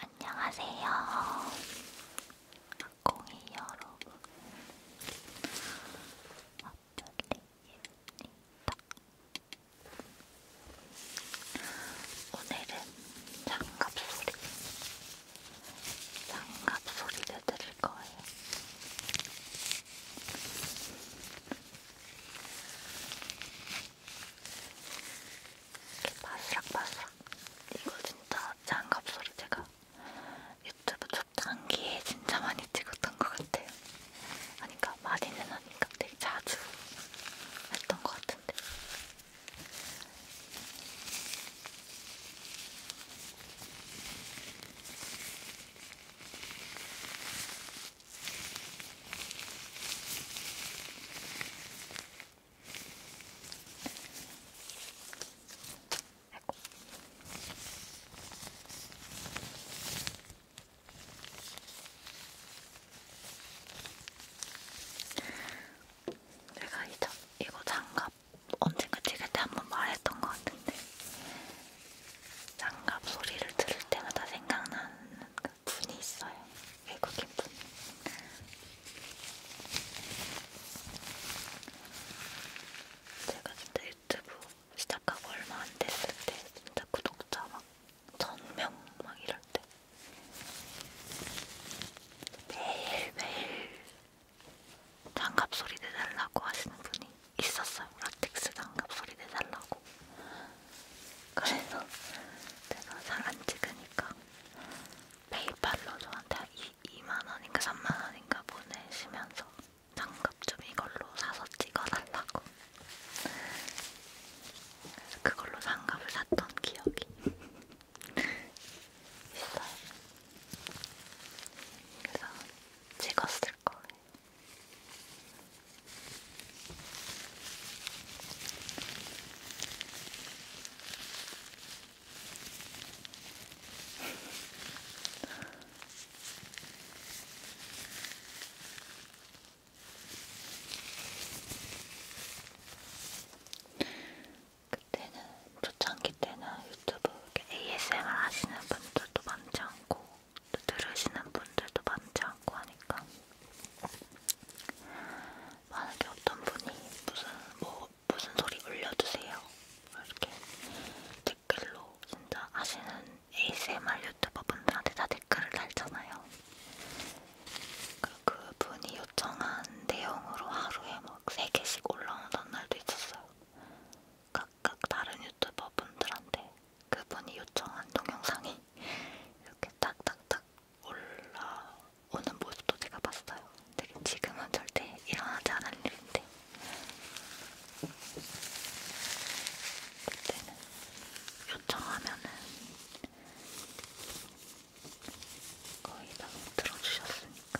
안녕하세요. 공이 여러분. 졸리입니다. 어, 오늘은 장갑 소리, 장갑 소리를 들을 거예요. 이렇게 바스락바스락. 이거 진짜 장갑 소리 제가 유튜브 적당기에 진짜 많이 찍었던 것 같아요. 아니까 그러니까 많이는 아니까 되게 자주 했던 것 같은데. 아이고. 내가 이 장, 이거 장갑 언젠가 찍을 때한번 말했던 것 같은데 장갑 소리를 들을 때마다 생각나는 그 분이 있어요. 외국인 분. 제가 진짜 유튜브 시작하고 얼마 안 됐을 때 진짜 구독자 막 천 명 막 이럴 때 매일매일 장갑 소리 내달라고 하시는 분이 있었어요. 라텍스 장갑 소리 내달라고. 그래서 제가 잘 안 찍으니까 페이팔로 저한테 2만원인가 3만원인가 보내시면서 장갑 좀 이걸로 사서 찍어달라고 그래서 그걸로 장갑을 샀던 기억이 있어요 그래서 찍었을 거예요 그때는 초창기 때는 유튜브 ASMR 하시는 분들도 많지 않고 또 들으시는 분들도 많지 않고 하니까 만약에 어떤 분이 무슨 뭐 무슨 소리 올려주세요. 이렇게 댓글로 진짜 아시는 ASMR 유튜버 분들한테 다 댓글을 달잖아요. 그러니까 그분이 요청한 내용으로 하루에 막 3개씩 올라오던 날도 있었어요. 각각 다른 유튜버 분들한테 그분이 요청한 동영상이 이렇게 딱딱딱 올라오는 모습도 제가 봤어요. 되게 지금은 절대 일어나지 않을 일인데 그때는 요청하면은 거의 다 들어주셨으니까.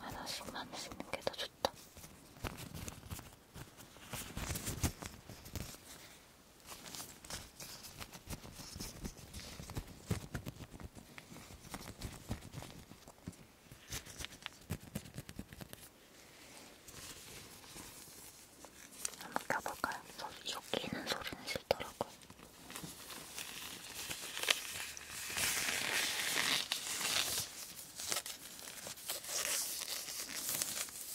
하나씩만 씹는 게 더 좋다. 한번 껴볼까요? 저 끼는 소리는 싫더라고요.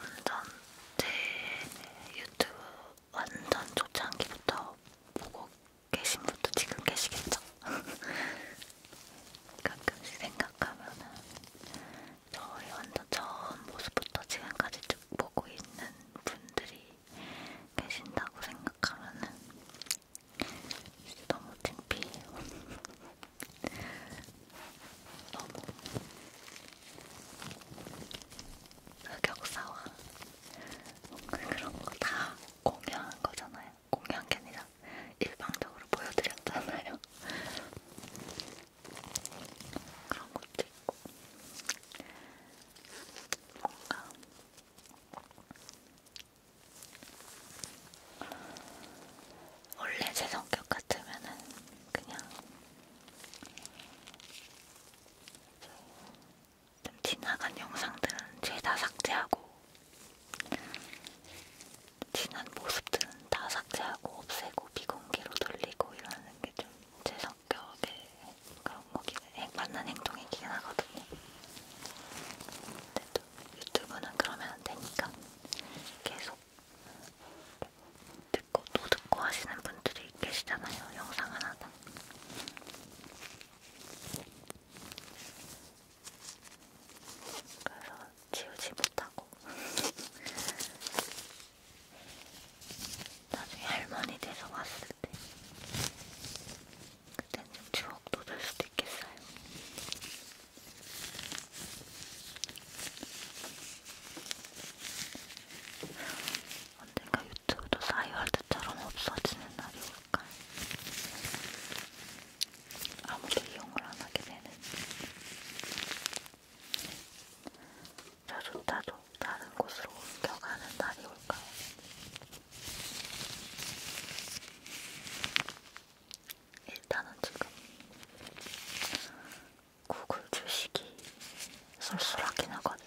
완전 제 유튜브 완전 초창기부터 보고 계신 분도 지금 계시겠죠? 가끔씩 생각하면은 저희 완전 처음 모습부터 지금까지 쭉 보고 있는 분들이 계신다고 생각하면은 너무 창피해요. 너무 흑역사와 뭔가 그런 거 다 공유한 거잖아요. 공유한 게 아니라 일방적으로 보여드렸잖아요. 그런 것도 있고 뭔가 원래 제 성격 같으면은 그냥 좀 지나간 영상들은 죄다 삭제하고 지난 모습들은 다 삭제하고 없애고 비공개로 돌리고 이러는 게 좀 제 성 성격에 그런 거기는 맞는 행동이긴 하거든요. 근데 또 유튜브는 그러면 안 되니까 계속 듣고 또 듣고 하시는 분들이 계시잖아요. 영상 하나당. 그래서 지우지 못하고 나중에 할머니 돼서 왔을 때 그땐 좀 추억도 될 수도 있겠어요. 언젠가 유튜브도 사이월드처럼 없어지는 날이 올까? 아무도 이용을 안 하게 되는 저조차도 다른 곳으로 옮겨가는 날이 올까요? 일단은 지금 구글 주식이 쏠쏠하긴 하거든요.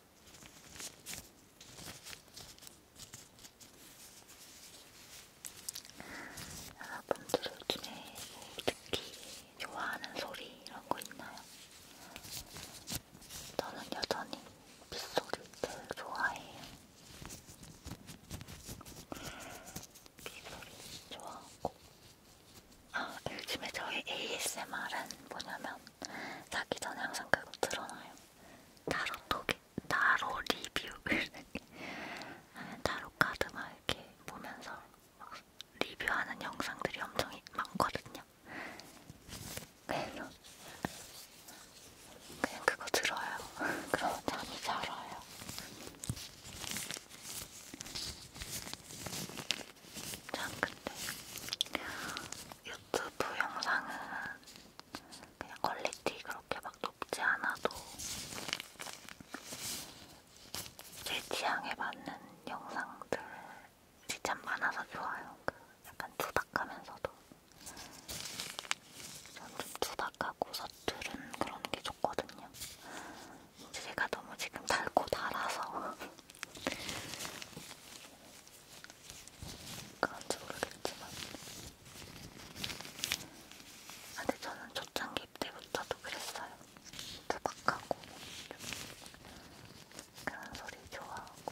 여러분들 요즘에 뭐 특히 좋아하는 소리 이런 거 있나요? 저는 여전히 빗소리 제일 좋아해요. 빗소리 좋아하고 아, 요즘에 저의 ASMR은 뭐냐면 자기 전에 항상 그거 틀어놔요. 타로 토기, 타로 리뷰 타로 카드 막 이렇게 보면서 막 리뷰하는 영상들이 엄청 많거든요. 그래서 그냥 그거 들어요. 그럼 잠이 잘 와요. 참 근데 유튜브 영상은 그냥 퀄리티 그렇게 막 높지 않아도 제 취향에 맞는 영상들이 참 많아서 좋아요. 그 약간 투닥하면서도 저는 좀 투닥하고 서투른 그런 게 좋거든요. 제가 너무 지금 달고 달아서 그런지 모르겠지만 아, 근데 저는 초창기 때부터도 그랬어요 투박하고 그런 소리 좋아하고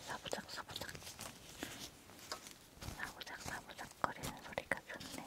사부작 사부작 사부작 사부작 거리는 소리가 좋네.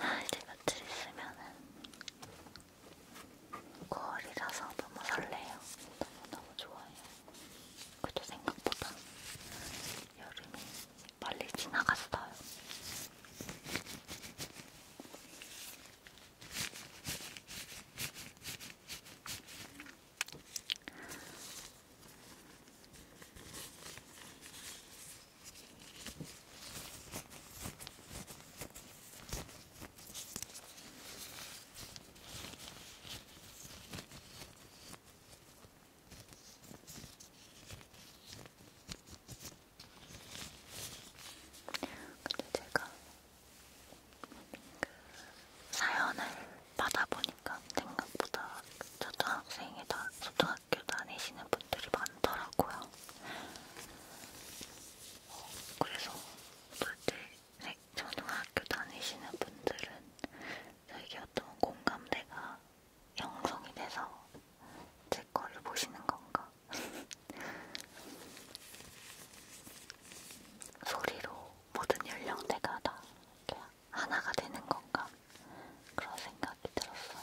아, 이제 며칠 있으면은 9월이라서 너무 설레요. 너무너무 좋아요. 그래도 생각보다 여름이 빨리 지나갔어요. 근데 제가 그 사연을 받아보니까 생각보다 초등학생이다, 초등학교 다니시는 분들이 많더라고요. 그래서 도대체 초등학교 다니시는 분들은 자기 어떤 공감대가 형성이 돼서 제 거를 보시는 건가? 소리로 모든 연령대가 다 하나가 되는 건가? 그런 생각이 들었어요.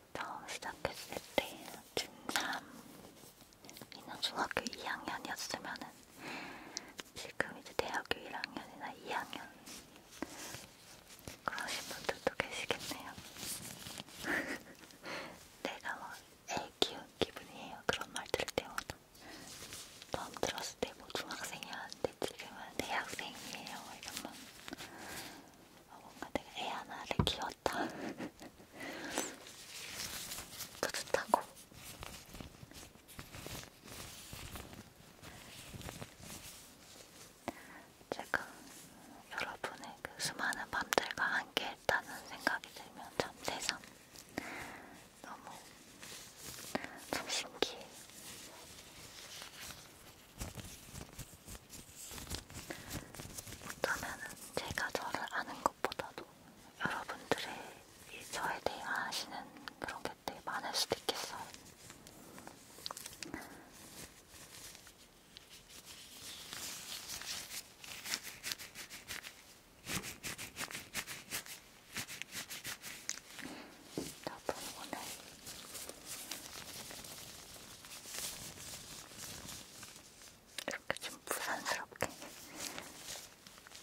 처음 시작했을 때 중3이나 중학교 2학년이었으면은 지금 이제 대학교 1학년이나 2학년 그러신 분들도 계시겠네요. 내가 뭐애 키운 기분이에요. 그런 말 들을 때마다. 처음 들었을 때 뭐 중학생이었는데 지금은 대학생이에요. 이런 말. 어, 뭔가 내가 애 하나를 키웠 같아. 뿌듯하고. 제가 여러분의 그 수많은 밤들과 함께 했다는 생각이 들면 참 세상 너무 참 신기해. 어쩌면은 제가 저를 아는 것보다도 여러분들의 이 저에 대해 아시는 그런 게 되게 많을 수도 있겠어요. 여러분 오늘 이렇게 좀 부산스럽게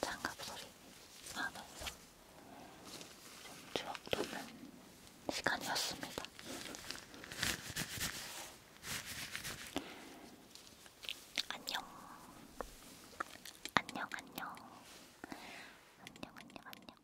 장갑 소리 하면서 좀 추억 돋는 시간이었습니다. 안녕. 안녕, 안녕. 안녕, 안녕, 안녕.